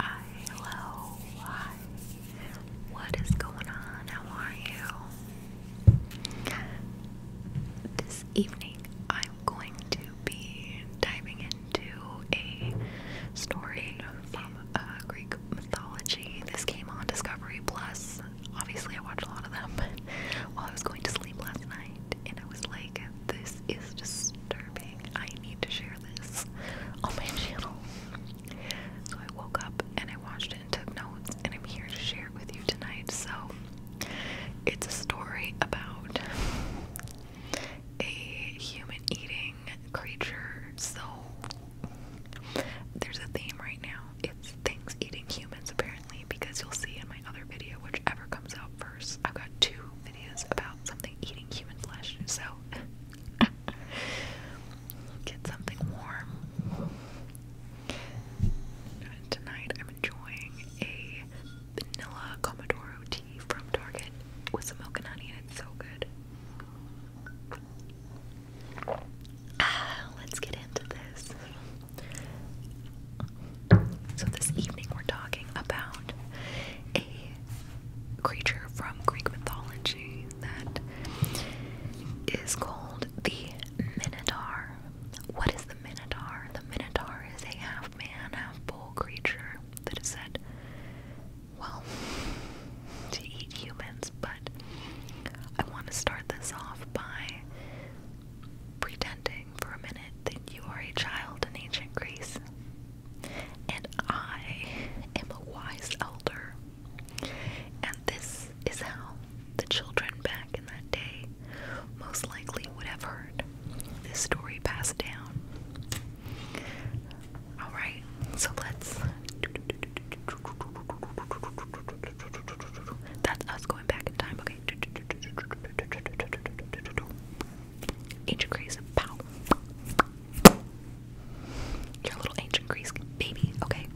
Hi, hello, What is going on? How are you? This evening, I'm going to be diving into a story from Greek mythology. This came on Discovery Plus. Obviously, I watched a lot of them. While I was going to sleep last night, and I was like, this is disturbing. I need to share this on my channel. So I woke up and I watched it and took notes, and I'm here to share it with you tonight. So it's a story about a human eating creature. So there's a theme right now. It's things eating humans, apparently, because you'll see in my other video, whichever comes out first. I've got two about something eating human flesh, so get something warm. tonight I'm enjoying a vanilla Commodoro tea from Target with some milk and honey, and it's so good. Ah, let's get into this. So, this evening we're talking about a creature from Greek mythology that is called the Minotaur. What is the Minotaur? The Minotaur is a half man, half bull creature that is said, well, to eat humans, but I want to start this off by pretending for a minute that you are a child in ancient Greece and I am a wise elder. And this is how the children back in that day most likely would have heard this story passed down. Alright, so let's. That's us going back in time, okay? Ancient Greece. Pow. Your little ancient Greece baby. Okay.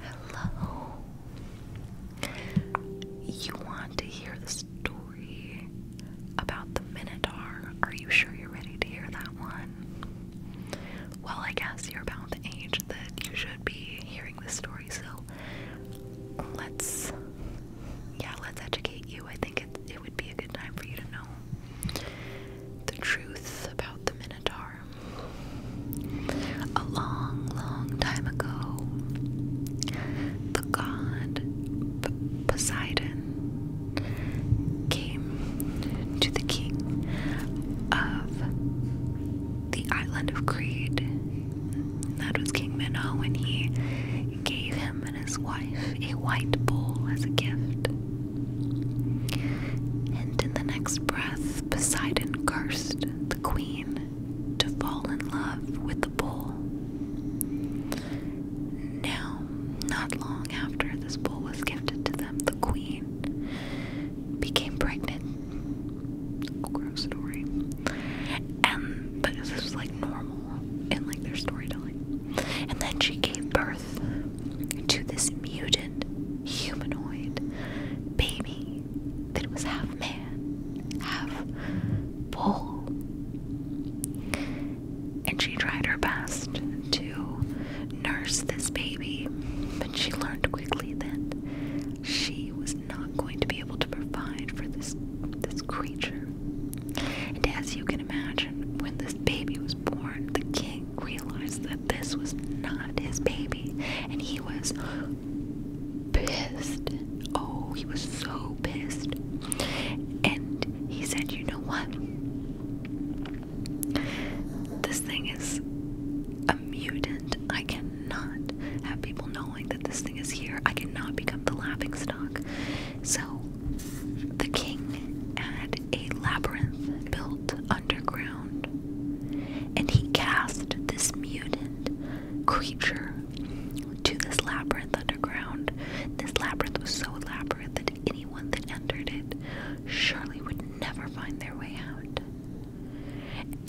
Hello. You want to hear the story about the Minotaur? Are you sure you're ready to hear that one? Well, I guess you're about the age that you should be hearing this story, so let's, yeah, let's educate I think it, would be a good time for you to know the truth about the Minotaur. A long, long time ago, the god Poseidon came to the king of the island of Crete. That was King Minos, and he gave him and his wife a white bull as a gift. And in the next breath, Poseidon cursed the queen to fall in love with the bull. Now, not long after this bull was gifted to them, the queen became pregnant. Gross story. And but this was like normal and like their storytelling. And then she gave birth to this mutant humanoid baby that was half man, half bull. And she tried her best to nurse this baby, but she learned quickly that she was not going to be able to provide for this creature. And as you can imagine, when this baby was born, the king realized that this was not his baby, and he was pissed. Oh, he was so pissed. And he said, You know what? This thing is a mutant. I cannot have people knowing that this thing is here. I cannot become the laughing stock. So, the king had a labyrinth built underground, and he cast this mutant creature to this labyrinth underground. This labyrinth was so elaborate that anyone that entered it surely would never find their way out.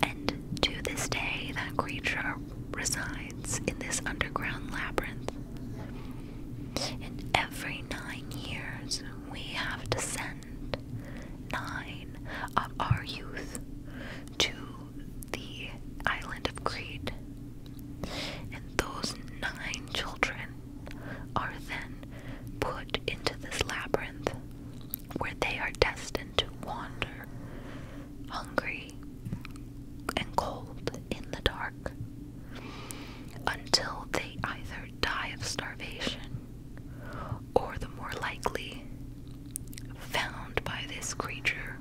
And to this day, that creature resides in this underground labyrinth. And every nine years, we have to send nine of our youth to the island of Crete. And those nine children are then put into this labyrinth where they are destined to wander hungry and cold in the dark until they either die of starvation or the more likely found by this creature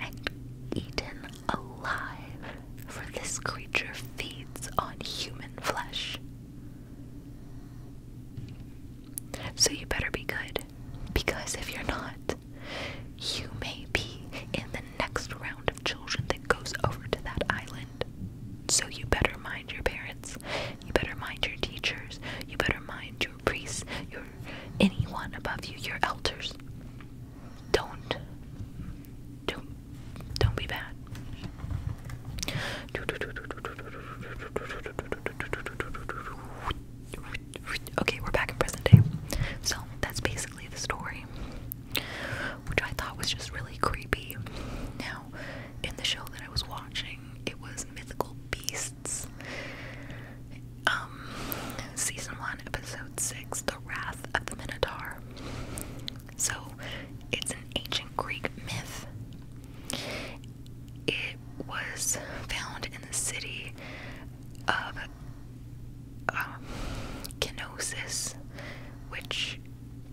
and eaten alive for this creature feeds on human flesh so you better be good because if you're not you may be in the next round of children that goes over to that island. So you better mind your parents. You better mind your teachers. You better mind your priests, your anyone above you, your elders. Don't don't don't be bad. Okay, we're back in present day. So that's basically the story, which I thought was just really creepy. Now, in the show that I was watching, it was Mythical Beasts. Um, season 1, episode 6, The Wrath of the Minotaur. So, it's an ancient Greek myth. It was found in the city of um, which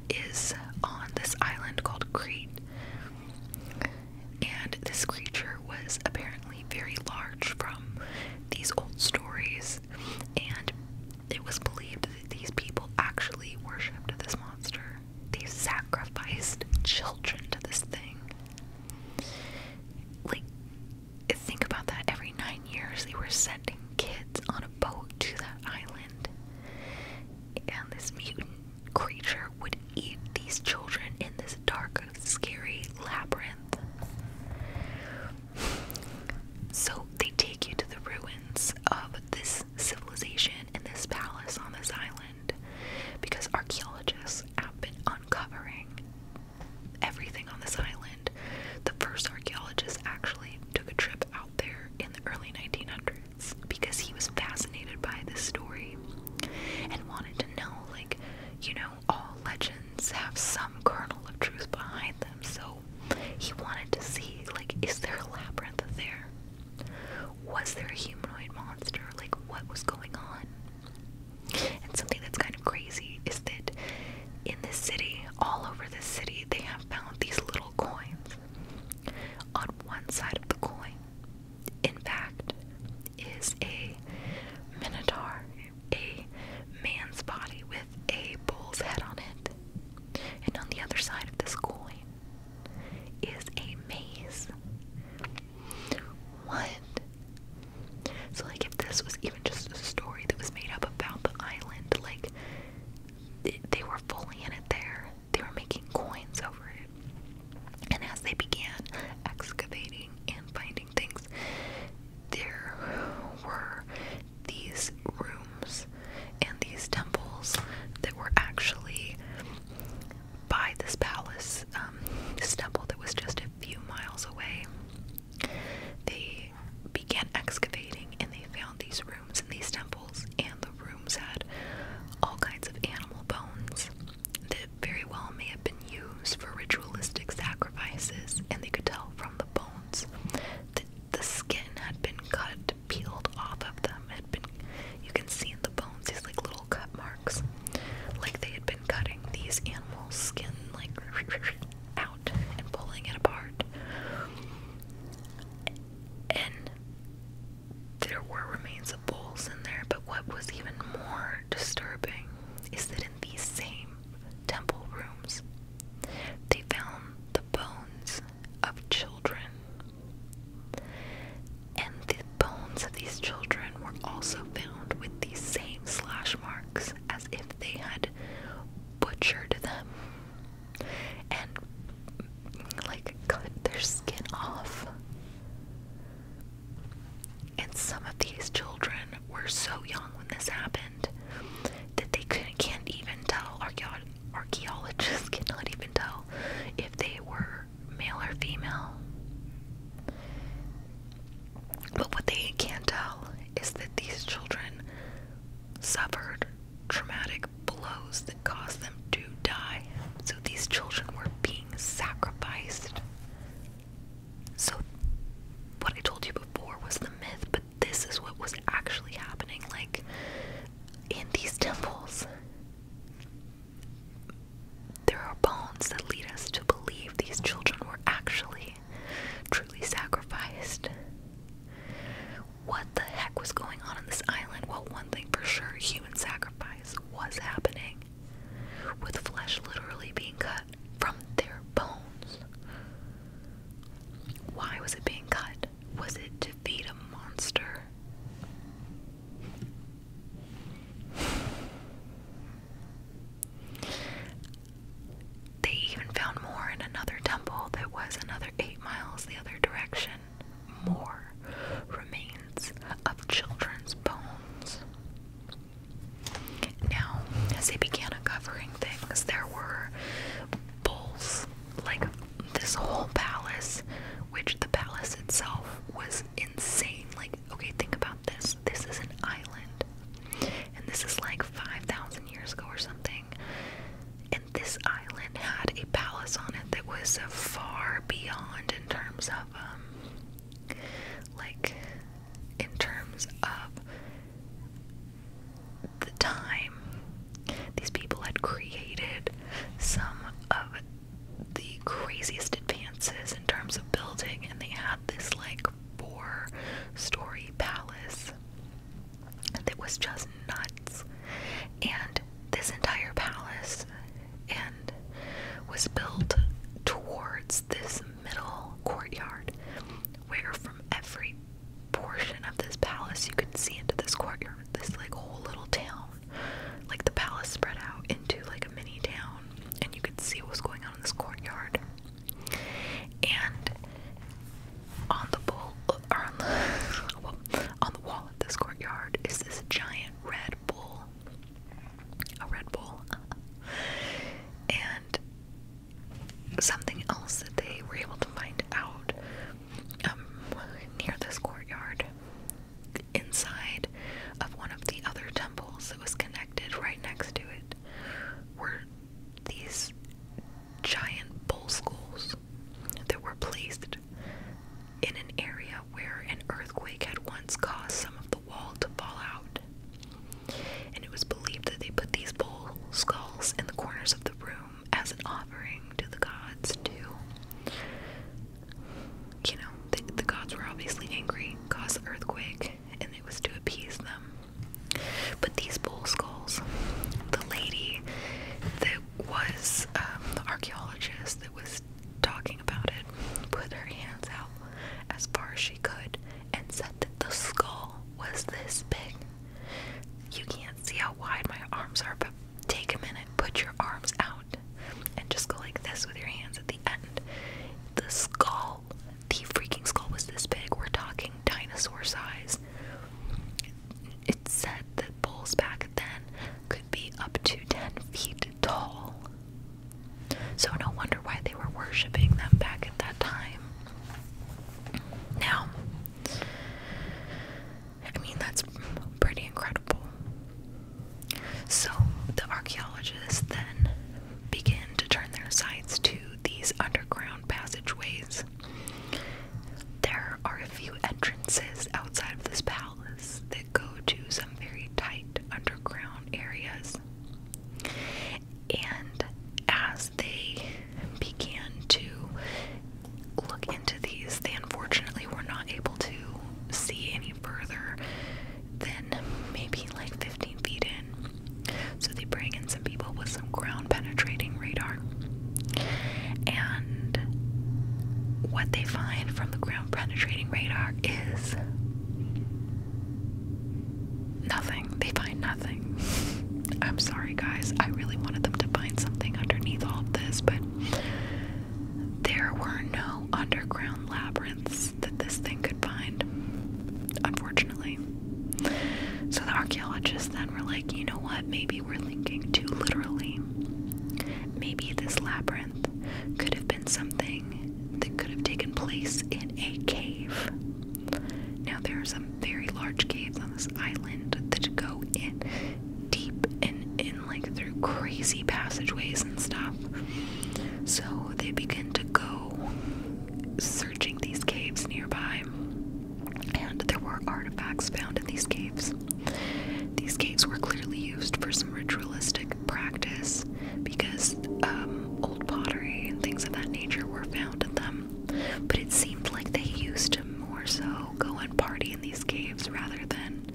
is on this island called Crete. And this creature was apparently very large from these old stories, and it was believed that these people actually worshipped this monster. They sacrificed children to this thing. Like, think about that every nine years they were sending kids on a boat to that island and this mutant creature would eat these children in this dark scary labyrinth so they take you to the ruins of this civilization and this palace on this island because archaeologists have been uncovering everything on this island. The first archaeologist actually took a trip out there in the early 1900s because he was fascinated by this story and wanted to know, like, you know, all legends have some kernel of truth behind them. So he wanted to see, like, is there a labyrinth there? Was there a humanoid monster? Like, what was going on? And something that's kind of crazy is that in this city, all over this city, they have found these little coins. On one side of the coin, in fact, is a minotaur, a man's body with a bull's head on it. And on the other side of this coin is a maze. What so, like, if this was even just a story that was made up about the island, like, they, were fully in it there. They were making coins over it. And as they began excavating and finding things, there were these rooms and these temples that were actually by this palace, um, this temple that was just a few miles away. They began excavating and they found these rooms in these temples, and the rooms had all kinds of animal bones that very well may have been used for ritualistic sacrifices, and they could tell from the bones that the skin had been cut, peeled off of them. Had been you can see in the bones these like little cut marks, like they had been cutting these animals' skin like out and pulling it apart. And there were remains of bulls in there, but what was even more disturbing is that in these same temple rooms, they found the bones of children. And the bones of these children were also found with these same slash marks as if they had butchered them and like cut their skin off. And some of these children were so young when this happened that they can't even tell, archaeologists cannot even tell if they were male or female. But what they can't tell is that these children suffered traumatic blows that caused them to die. So these children were being sacrificed. So, what I told you before was the myth, but this is what was actually happening. Like, in these temples, there are bones that lead us to believe these children were actually truly sacrificed. What the heck was going on on this island? Well, one thing for sure human sacrifice was happening, with flesh literally being cut from their bones. Why was it being cut? Was it to feed a monster? They even found more in another temple that was another eight miles the other direction. More remains of children's bones. Now, as they began uncovering things, there were bowls, like this whole palace, which the palace itself was insane. Like, okay, think about this. This is an island and this is like 5,000 years ago or something. And this island had a palace on it that was far beyond in terms of, um, like, in terms of the time. These people had created some of the craziest advances in terms of building, and they had this, like, four story palace. It was just nuts. And this entire palace and was built towards this middle courtyard where from every portion of this palace you could see into this courtyard, this like whole little town. Like the palace spread out into like a mini town and you could see what was going on in this courtyard. And on the bowl, or on the, on the wall of this courtyard is this giant red bull, a red bull, and something else that they were able to find out um, near this courtyard, inside of one of the other temples that was connected right next to it, were these giant bull skulls that were placed in an area where an earthquake had once caused some of the wall to fall out. And it was believed that they put these bull skulls in the corners of the room as an offering to the gods, too. You know, the, the gods were obviously angry, caused the earthquake, and it was to appease them. But these bull skulls, the lady that was um, the archaeologist that was talking about it put her hands out as far as she could and said that the skull was this big. You can't see how wide my arms are, but take a minute, put your arms out, and just go like this with your hands at the end. The skull, the freaking skull was this big. We're talking dinosaur size. It said that bulls back then could be up to 10 feet tall. So, no wonder why they were worshipping them back at that time. Now, I mean, that's pretty incredible. So, the archaeologists then begin to turn their sights to these underground passageways there are a few entrances outside of this palace that go to some very tight underground areas. And as they began to look into these, they unfortunately were not able to see any further than maybe like 15 feet in. So they bring in some people with some ground penetrating radar. And what they find from the ground penetrating radar is nothing. They find nothing. I'm sorry, guys. I really wanted them to find something underneath all of this, but there were no underground labyrinths that this thing could find, unfortunately. So the archaeologists then were like, you know what, maybe we're thinking too literally. Maybe this labyrinth could have been something that could have taken place in a cave. Now, there are some very large caves on this island that go in deep and in like through crazy passageways and stuff. So they begin to go searching these caves nearby and there were artifacts found in these caves. These caves were clearly used for some ritualistic practice because um, old pottery and things of that nature were found in them, but it seemed like they used to more so go and party in these caves rather than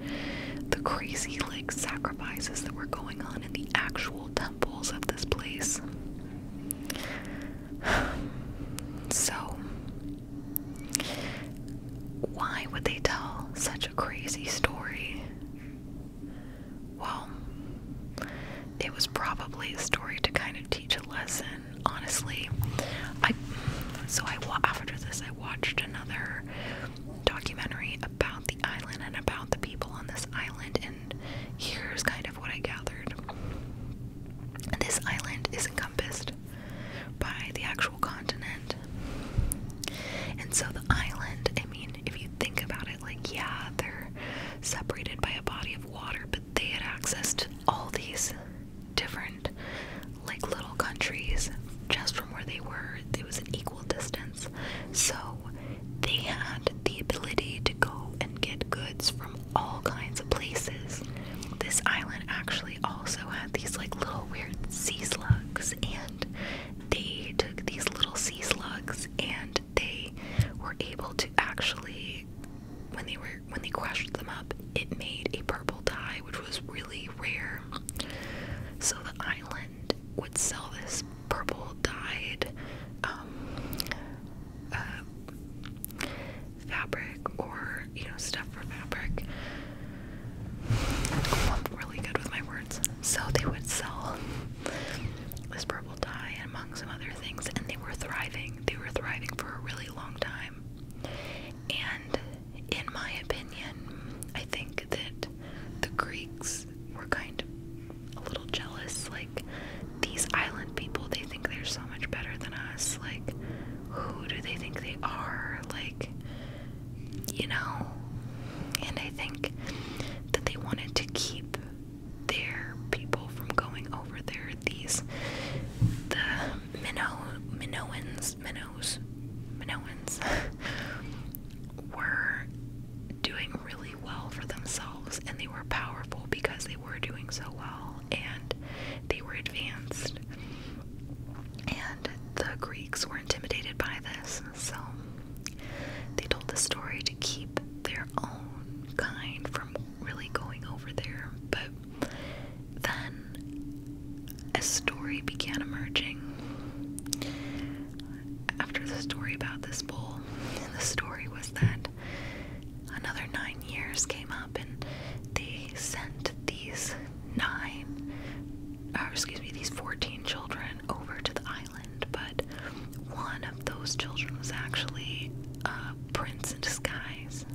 the crazy like sacrifices that were going on in the actual temples of this place. So, why would they tell such a crazy story? Well, it was probably a story to kind of teach a lesson, honestly. I so I after this I watched another documentary about the island and about the people on this island and here's kind of what I gathered. This island is encompassed by the actual continent. And so the island, I mean, if you think about it, like, yeah, they're separated by a body of water, but they had access to all these different, like, little countries just from where they were. It was an equal distance. So they had the ability to go and get goods from all kinds of places. This island actually also had these like little weird sea slugs, and they took these little sea slugs and they were able to actually when they were when they crushed them up, it made a purple dye, which was really rare. So the island would sell this purple dyed um, uh, fabric or, you know, stuff for fabric. I'm really good with my words. So they would sell this purple dye and among some other things, and they were thriving. They were thriving for a really long time. And in my opinion, I think that the Greeks were kind of a little jealous. Like, these island people, they think they're so much better than us. Like, who do they think they are? Like, you know? And I think that they wanted to keep their people from going over there. These, the minnow, Minoans, Minnows, Minoans were doing really well for themselves and they were powerful because they were doing so well and they were advanced. And the Greeks were intimidated by this, so they told the story to keep their own kind from really going over there. But then a story began emerging after the story about this bull, and the story was that another nine years came up, and they sent these nine, or excuse me, these 14 children over to the island. But one of those children was actually a prince in disguise.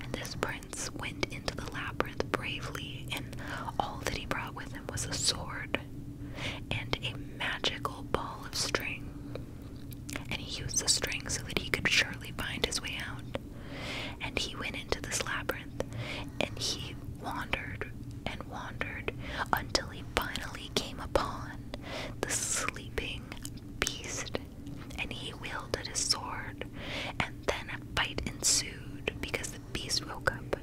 And this prince went into the labyrinth bravely, and all that he brought with him was a sword and a magical ball of string and he used the string so that he could surely find his way out. And he went into this labyrinth, and he wandered and wandered until he finally came upon the sleeping beast. And he wielded his sword, and then a fight ensued because the beast woke up.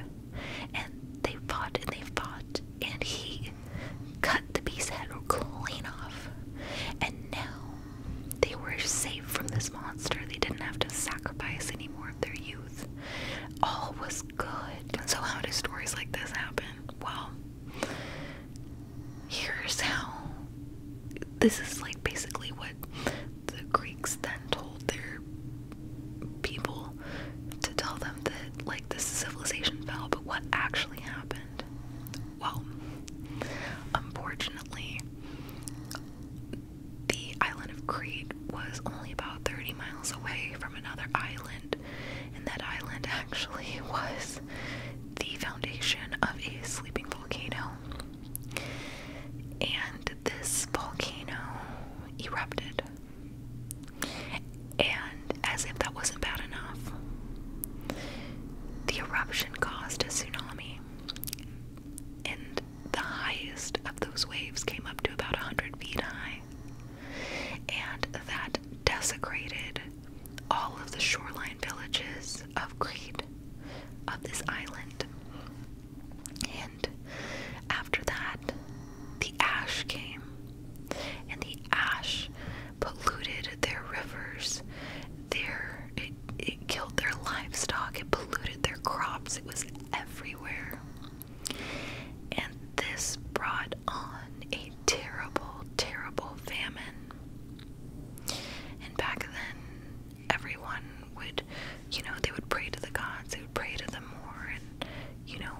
And they fought and they fought, and he cut the beast's head clean off. And now they were safe from this monster. They didn't have to sacrifice any more of their youth. All was good. So, how do stories like this happen? Well, here's how this is like basically what the Greeks then told their people to tell them that, like, this civilization fell, but what actually happened well, unfortunately, the island of Crete was only about 30 miles away from another island, and that island actually was the foundation of a sleeping volcano. And this volcano erupted. And as if that wasn't bad enough, the eruption caused a tsunami and the highest of those waves came up to about 100 feet high. And that desecrated all of the shoreline villages of Crete, of this island. And after that, the ash came, and the ash polluted their rivers there, it, it killed their livestock, it polluted their crops, it was everywhere. And this brought on a terrible, terrible famine. And back then, everyone would, you know, they would pray to the gods, they would pray to the more, and, you know,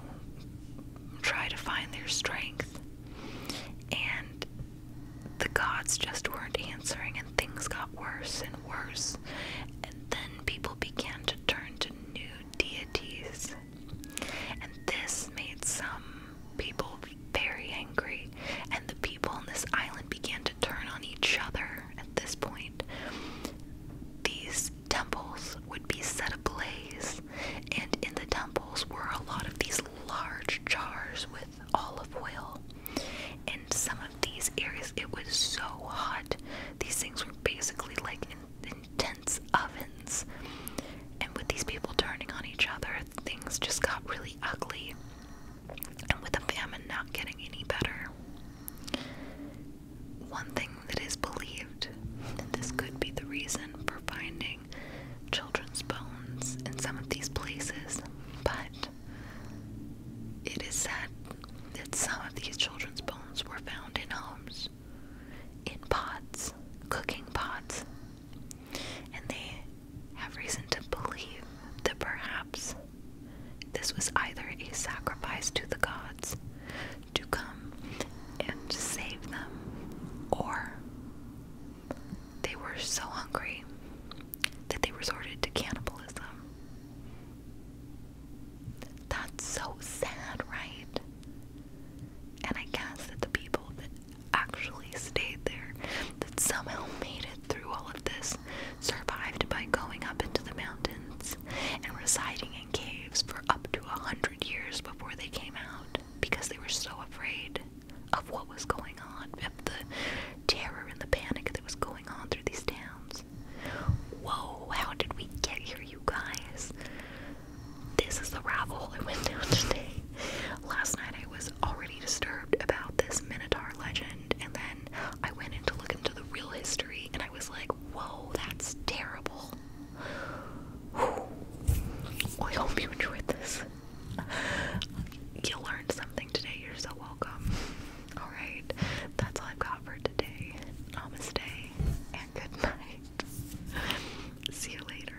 try to find their strength. And the gods just weren't answering, and things got worse and worse. And then people began to turn to new deities. And this made some people very angry, and the people on this island began to turn on each other at this point. These temples would be set ablaze, and in the temples were a lot of these large jars with olive oil. and some of these areas, it was so hot. These things were basically like intense ovens. And with these people turning on each other, things just got really ugly. And with the famine not getting any better, one thing that is believed that this could be the reason for finding children's bones in some of these places, but it is sad that some of these children's bones were found in homes, in pots, cooking pots, and they have reason to believe that perhaps this was either a sacrifice to the gods to come and save them, or they were so hungry that they resorted to cannibalism. That's so sad, right? And I guess that the people that actually stayed there, that somehow made it through all of this, survived by going up into the mountains and residing in caves for up to a hundred years before they came out because they were so afraid of what was going on, of the terror and the panic that was going on through these towns. Whoa, how did we get here, you guys? This is the rabbit I went down today. Last night I was already disturbed about this Minotaur legend, and then I went in look into the real history, and I was like, whoa, that's terrible. I hope you enjoyed this you learned something today. You're so welcome. Alright, that's all I've got for today. Namaste and good night. See you later.